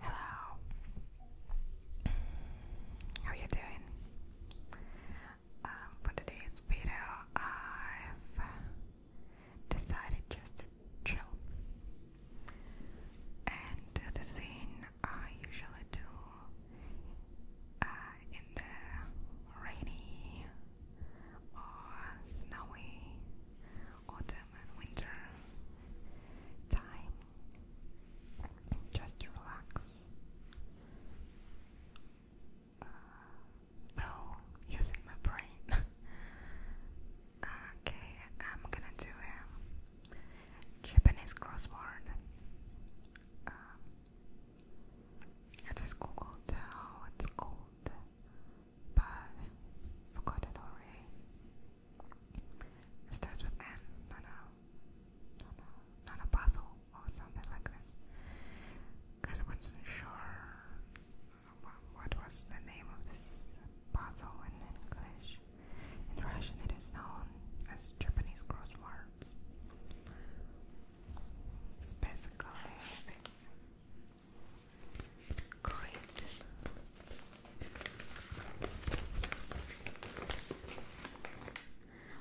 Hello. How are you doing? Um, for today's video, I've decided just to chill. And uh, the thing I usually do uh, in the rainy or snowy autumn and winter time just to relax. Uh, no, using my brain. okay, I'm gonna do a Japanese crossword. Um, I just googled how it's called, but forgot it already. It starts with N, no, no, not a puzzle or something like this. Because I wasn't sure what was the name of this puzzle in English. In Russian, it is known as Japanese crosswords. It's basically this great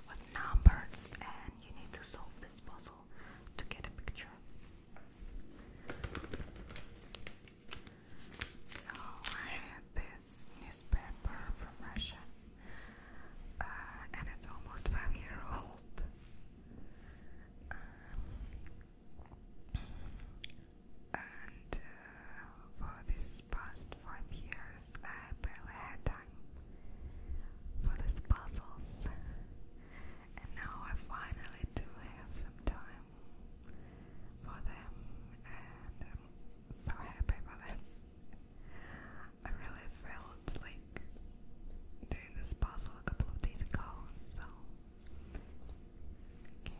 with numbers, and you need to solve this puzzle to get a picture. So, I had this newspaper from Russia, uh, and it's almost five year old. Um, and uh, for this past five years, I barely had time for these puzzles. And now I finally do have some time for them, and I'm so happy about this. I really felt like doing this puzzle a couple of days ago, so Okay,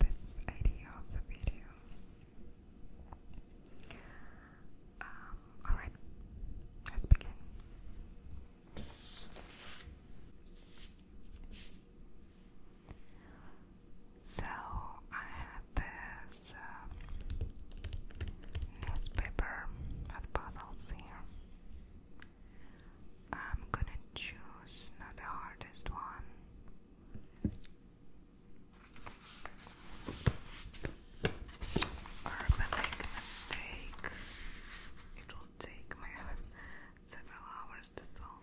this idea of the video. Um, alright, let's begin. So, I have this uh, newspaper with puzzles here. I'm gonna choose not the hardest one, I make a mistake, it will take my several hours to solve.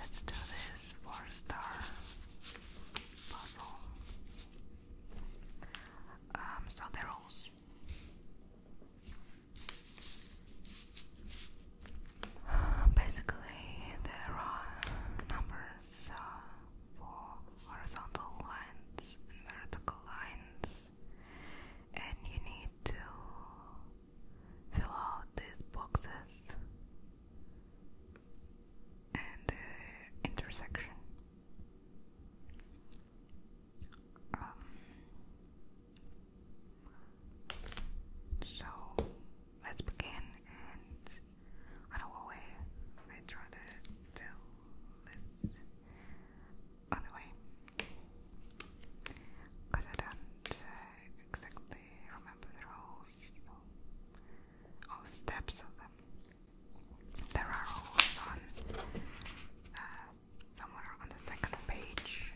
Let's do this four star puzzle. Um, so the rules. basically, there are numbers uh, for horizontal lines vertical lines, and you need to fill out these boxes and intersection. Um, so let's begin and I know away I try this on the Because I don't uh, exactly remember the rules all the steps of them. There are rules on uh, somewhere on the second page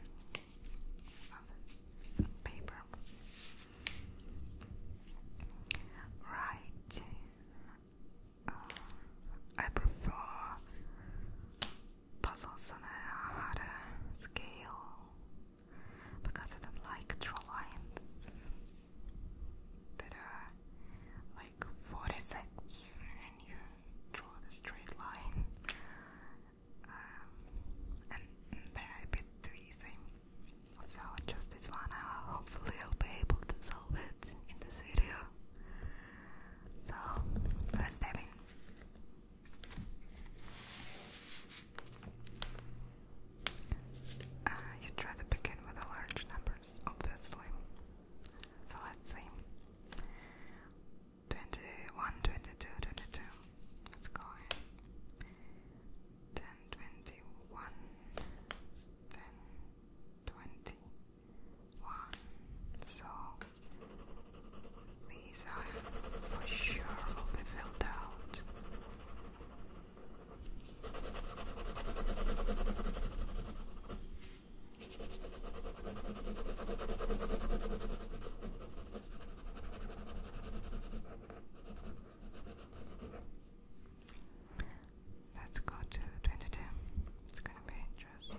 of this paper. Right. Uh, I prefer puzzles on a harder scale because I don't like draw lines that are like 46 and you draw the straight line um, and they're a too easy so just this one hopefully I'll be able to solve it in this video so let's uh, you try to begin with the large numbers, obviously. So let's see. 21, 22, 22. Let's go ahead. 10, So these are for sure will be filled out. Let's go to 22. It's gonna be interesting.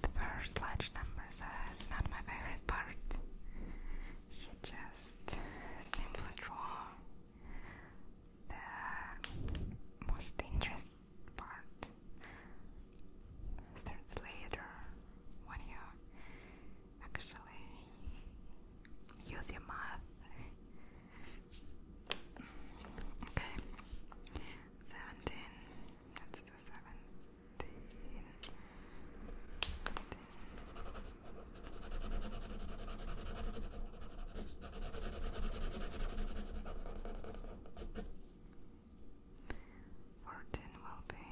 The first large numbers is not my favorite part. You just simply draw the most interesting part starts later when you actually use your mouth. Okay, 17, let's do 17. Fourteen will be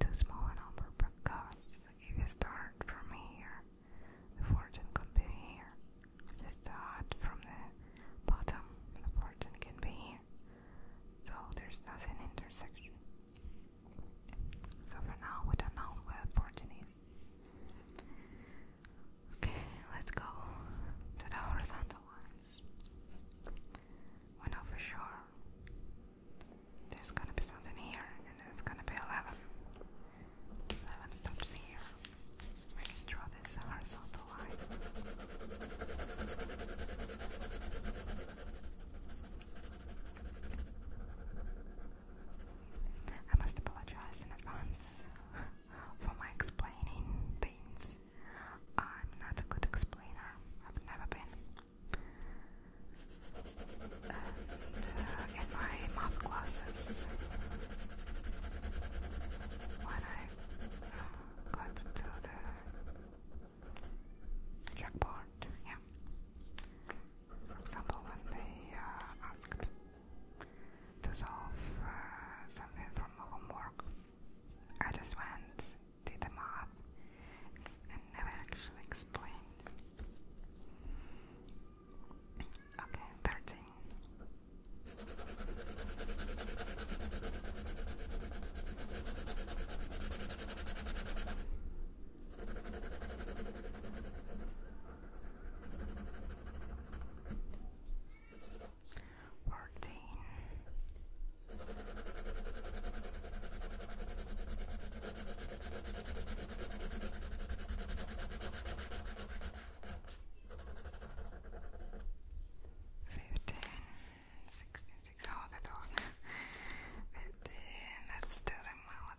too small a number because if you start from here, the fourteen could be here. If you start from the bottom, the fourteen can be here. So there's nothing intersection. So for now, we don't know where Fortune is. Okay, let's go to the horizontal lines. We know for sure there's gonna be something here, and there's gonna be 11. 11 stops here. We can draw this horizontal line. I must apologize in advance for my explaining things. I'm not a good explainer, I've never been. And uh, in my math classes, when I uh, got to the checkboard, yeah, for example, when they uh, asked to solve uh, something from homework, I just went, did the math, and never actually explained. Okay, 13. Fourteen. Fifteen. Oh, that's all. Fifteen. That's still in well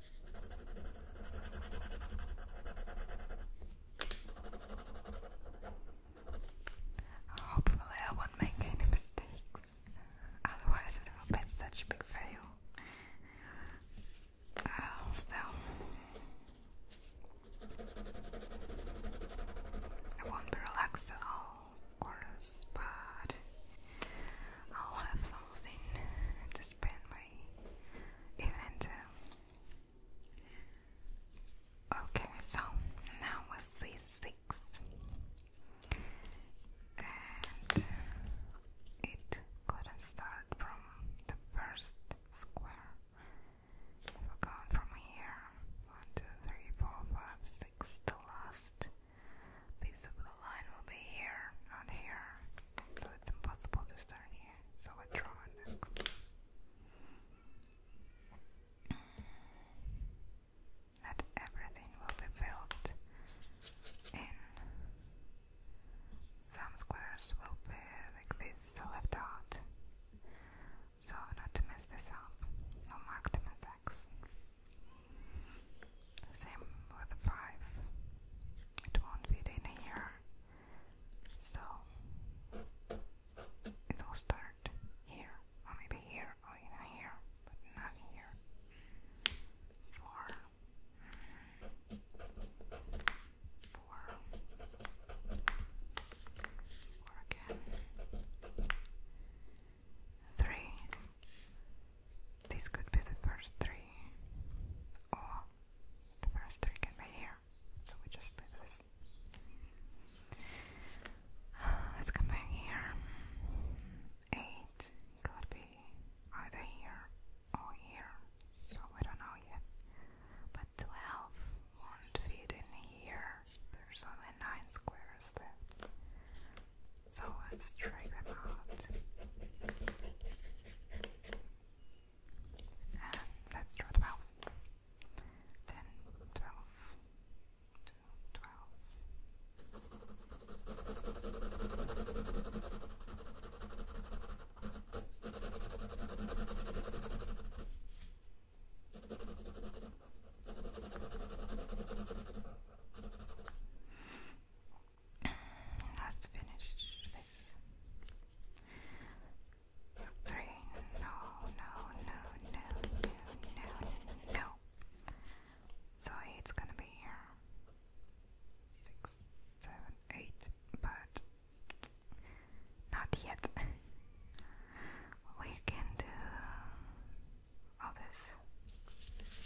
Hopefully, I won't make any mistakes, otherwise, it will be such a big fail. Uh, I won't be relaxed at all, of course, but I'll have something to spend my evening to. Okay, so now we see six, and it couldn't start from the first square. We're from here. One, two, three, four, five, six. The last piece of the line will be here, not here. So it's impossible to start here. So I draw next. Not everything will be filled in. Some squares will be like this left out. So not to mess this up, I'll mark them as X. Same with 5. It won't fit in here. So it'll start here, or maybe here, or even here, but not here. 4. again. Three. This could be the first three, or the first three can be here, so we just leave this. Let's come back here. Eight could be either here or here, so we don't know yet. But twelve won't fit in here. There's only nine squares left. So let's try them out. And let's draw 12. 10, Let's finish this. Three. No, no, no, no, no, no, no. it's gonna be here. Six, seven, eight, but not yet. we can do all this. So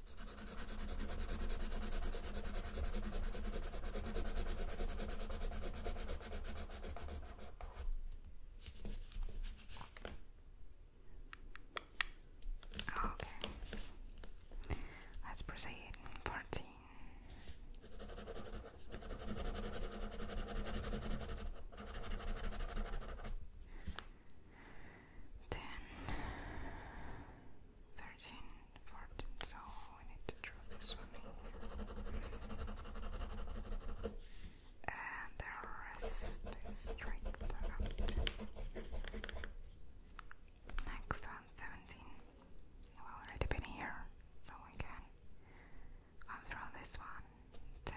Okay. Let's proceed. Fourteen. 10, So we need to draw this one And the rest is straight Next one, We've already been here, so we can. draw this one 10,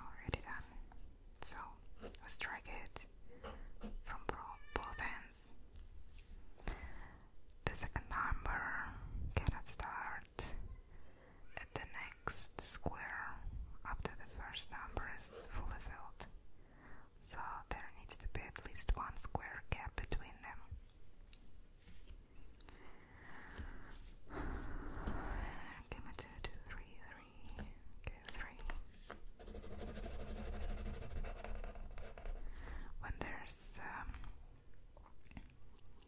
Already done. So we strike it from both ends. The second number cannot start at the next square after the first number is fully filled. So there needs to be at least one square gap between them. Give me two, two, three, three. Okay, When there's um,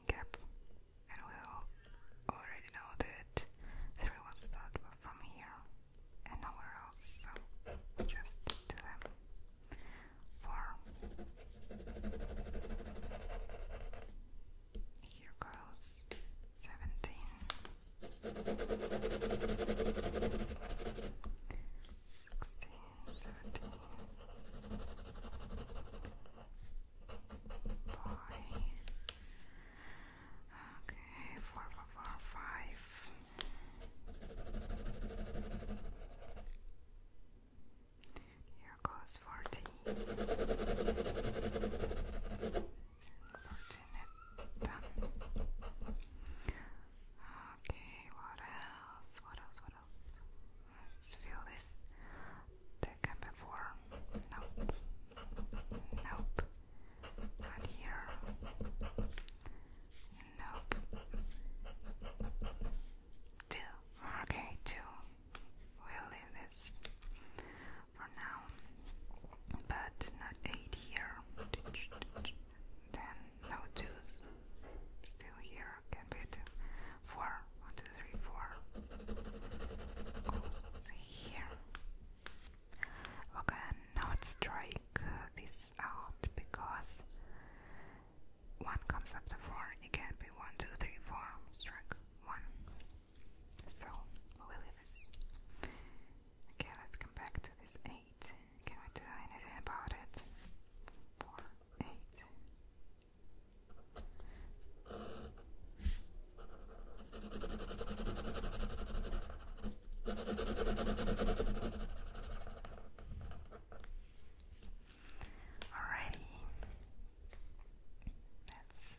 gap, and we already know that three will start from here and nowhere else, just do them. Four. Here goes seventeen, sixteen, seventeen, Okay, four, four, four, five. Here goes forty putting it Okay, what else? What else? What else? Let's feel this second before. Nope. Nope. Not here. Nope. Two. Okay, two. We'll leave this for now, but not 8 here, then no 2's, still here, can be 2, 1, 2, 3, 4, here. We cannot strike this out because 1 comes after 4, it be 1, strike 1. So, we leave this. Okay, let's come back to this 8. Can we do anything about it? 4, that's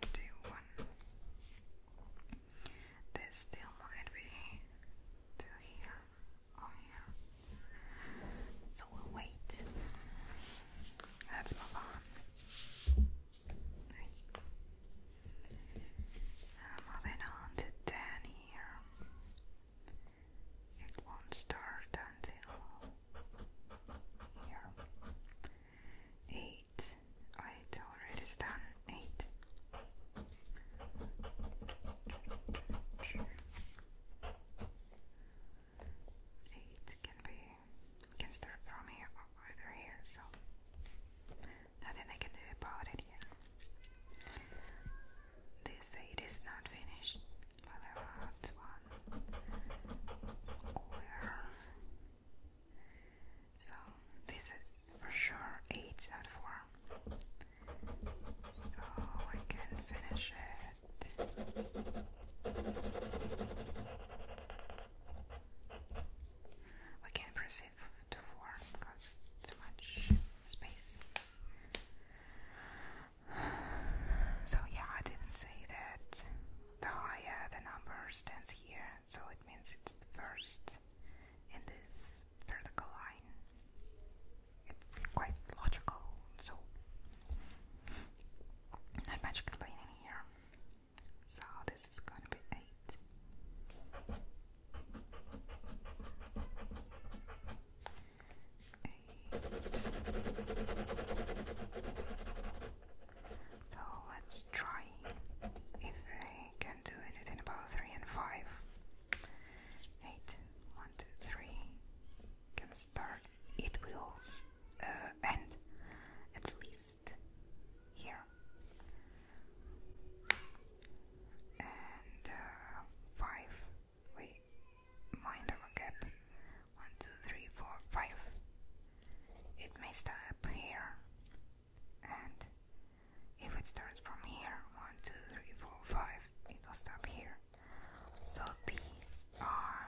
21. There still might be two here or oh, here. So we'll wait. Let's move on. moving on to 10 here. It won't start until here eight. Wait, already is Eight. Eight can be can start from here or either here, so nothing I can do about it yet. This eight is not finished, but I want one square so this is for sure 8 out 4. So I can finish it. We can proceed to 4 because too much space. So yeah, I didn't say that the higher the number stands here, so it means it's the first in this vertical line. It's quite logical, so not much explaining here. So this is gonna be eight. Eight. So let's try if I can do anything about 3 and 5. Can start. It will uh, end at least here. And uh, 5. We mind of gap. One, two, three, four, five. It may stop here, and if it starts from here, one, two, three, four, five, it will stop here. So these are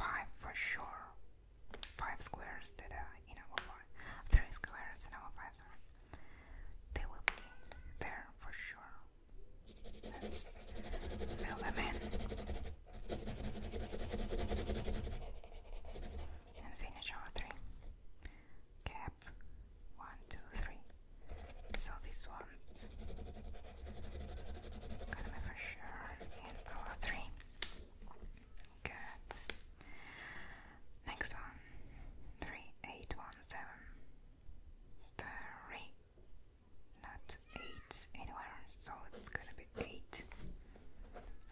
five for sure. Five squares that are in our five, three squares in our five. Sorry. They will be there for sure. Let's fill them in and finish our three cap one two three so this one's going sure in our three good next one three eight one seven three not 8 anywhere, so it's gonna be 8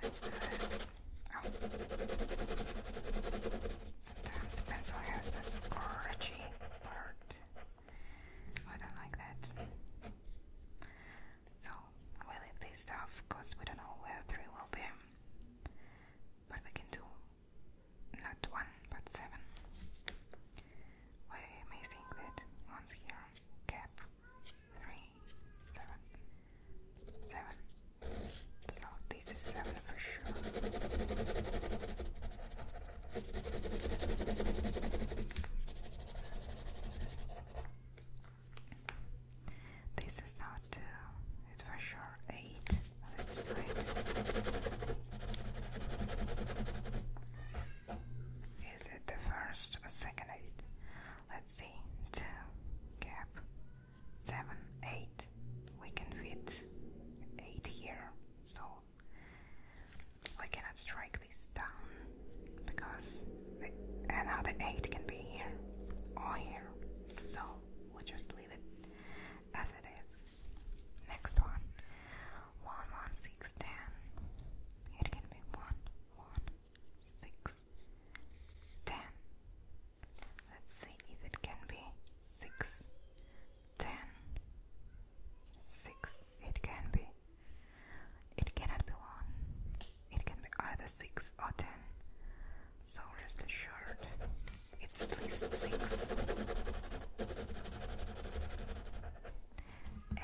instead of. Oh. Sometimes pencil has the scratchy part. I don't like that. So we leave this stuff because we don't know where 3 will be. But we can do not 1 but 7. We may think that one's here cap three seven seven. So this is seven for sure. This is not two, it's for sure eight. Let's do it. Is it the first or second eight? Let's see. Two gap seven eight. We can fit eight here, so we cannot strike this down because the, eight can be here or here. So we just leave it as it is. Next one one one six ten. It can be one one, six, ten. Let's see if it can be six, ten, six. It can be. It cannot be one. It can be either six or ten. So rest assured, it's at least six.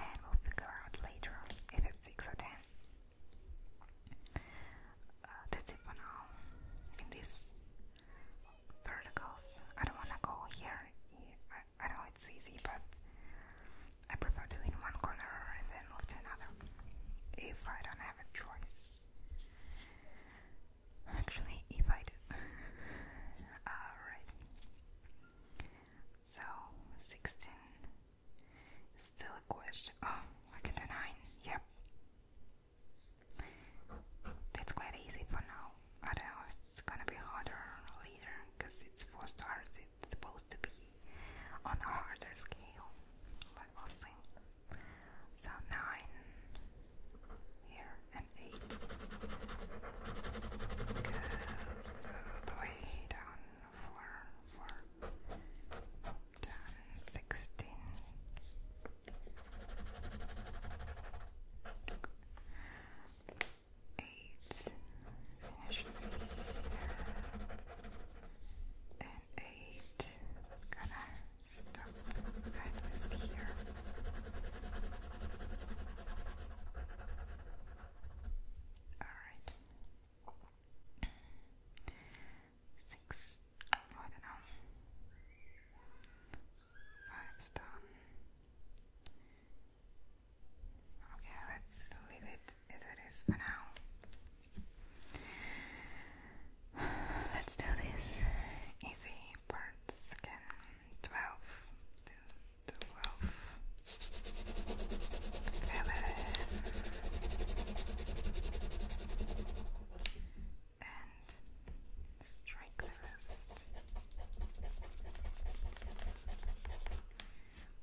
And we'll figure out later if it's 6 or 10. Uh, that's it for now. In these verticals, I don't want to go here. I know it's easy, but I prefer doing one corner and then move to another if I don't have a choice. Actually, if I do. Alright. So, 16 Still a question. Oh, I get a nine. Yep. That's quite easy for now. I don't know if it's gonna be harder later because it's four stars. It's supposed to be on a harder scale, but we'll So nine here and eight. Because uh, way down four, four, done, sixteen. here, and eight gonna stop right with here. All right. Six, oh, I don't know. Five's done. Okay, let's leave it as it is for now. Let's do this. Easy parts again. Twelve to Ralph and strike the wrist.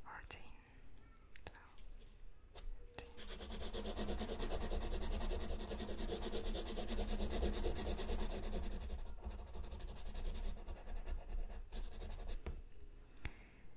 Fourteen.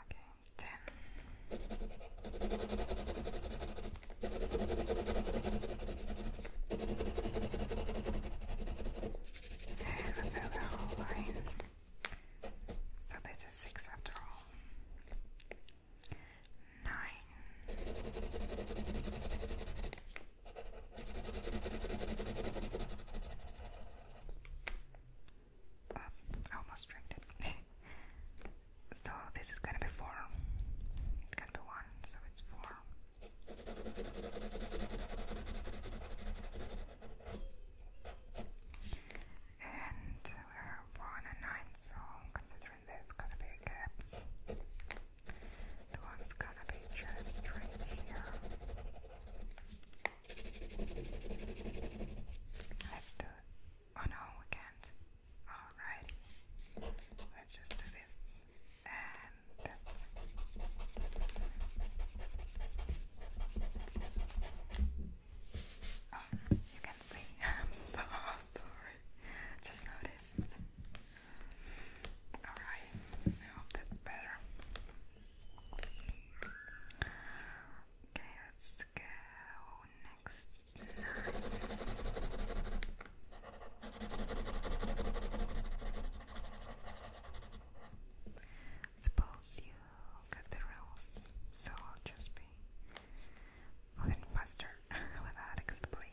Okay, ten. And then whole line. So this is six after all. Nine. Um, I almost drank it. so this is gonna be four. It's gonna be one, so it's four. And we have one and nine, so considering there's gonna be a gap, the one's gonna be just right here. Let's do it. Oh no, we can't. Alrighty. Let's just do this. Oh, you can see. I'm so sorry. Just noticed. Alright, I hope that's better. Okay, let's go next Suppose you got the rules, so I'll just be moving faster without explaining.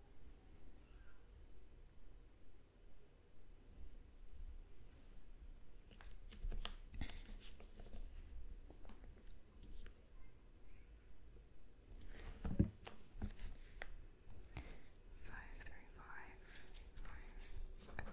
Five three five five six three.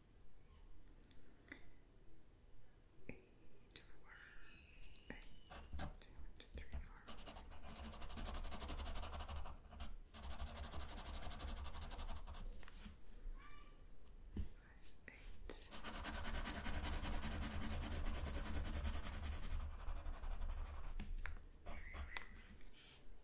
eight, four, eight, two, three, four. Eight. Nine.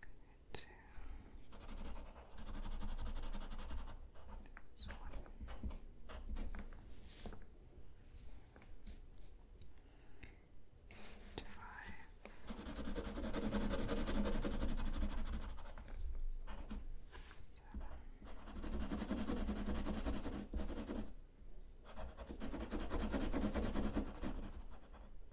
Good. This one. Eight, five. Seven. Six.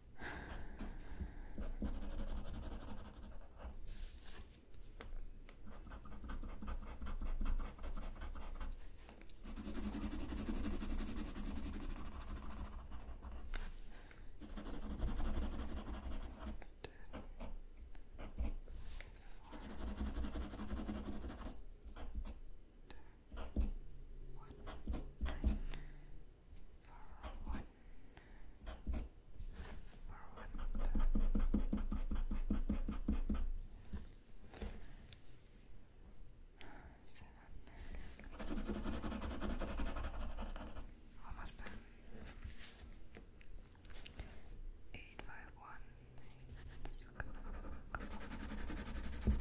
One, nine, or what? Almost done. Eight five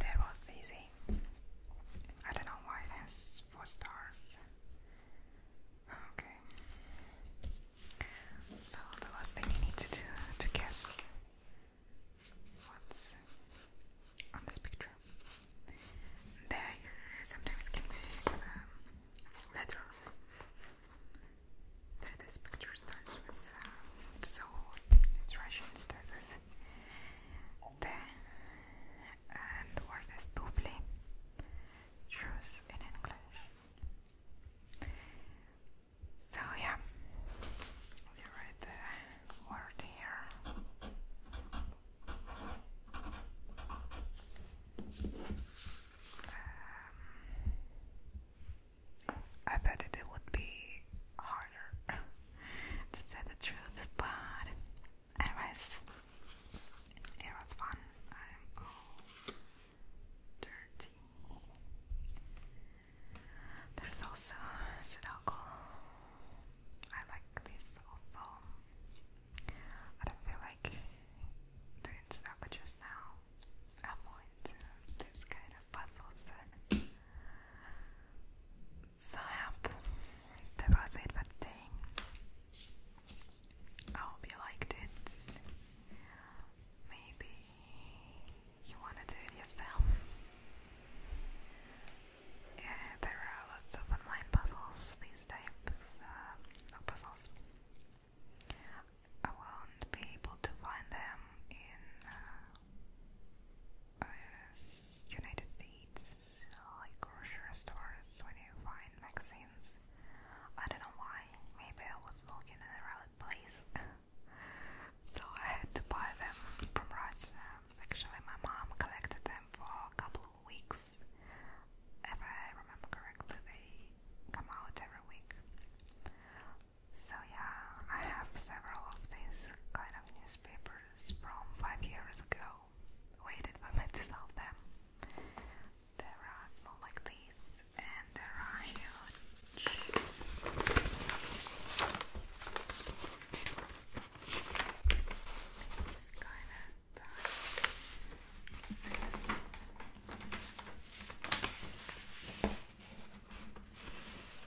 That was easy. I don't know why it has four stars. Okay. So the last thing you need to do to guess what's on this picture. There sometimes can be um, letter. There this picture starts with so it's Russian starters. Then, and the word is doubly, choose in English. So yeah, we read the word here. Um, I thought it would be harder to say the truth, but anyways, it was fun. I'm all dirty. There's also Sudoku. I like this also. I don't feel like doing Sudoku now. I'm more into this kind puzzles that Zap that was it for today. I hope you liked it. Maybe you wanna do it yourself. Yeah, there are lots of online puzzles these days. uh, puzzles. I will be able to find them in uh, uh, United States, like grocery stores, when you find magazines. I don't know why, maybe I was looking in a right place. so I had to buy them from Russia. Actually, my mom collected them for a couple of weeks. If I remember correctly, they come out every week. So yeah, I have several of these kind of newspapers from five years ago. Waited for me to sell them. There are small like these, and there are huge.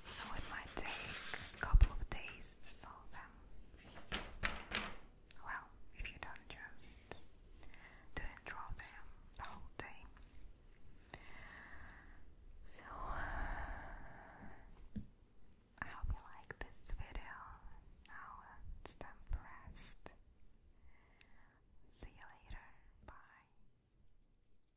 So it might take a couple of days to solve them. Well, if you don't just do draw them the whole day. So uh, I hope you like this video. Now it's time See you later. Bye.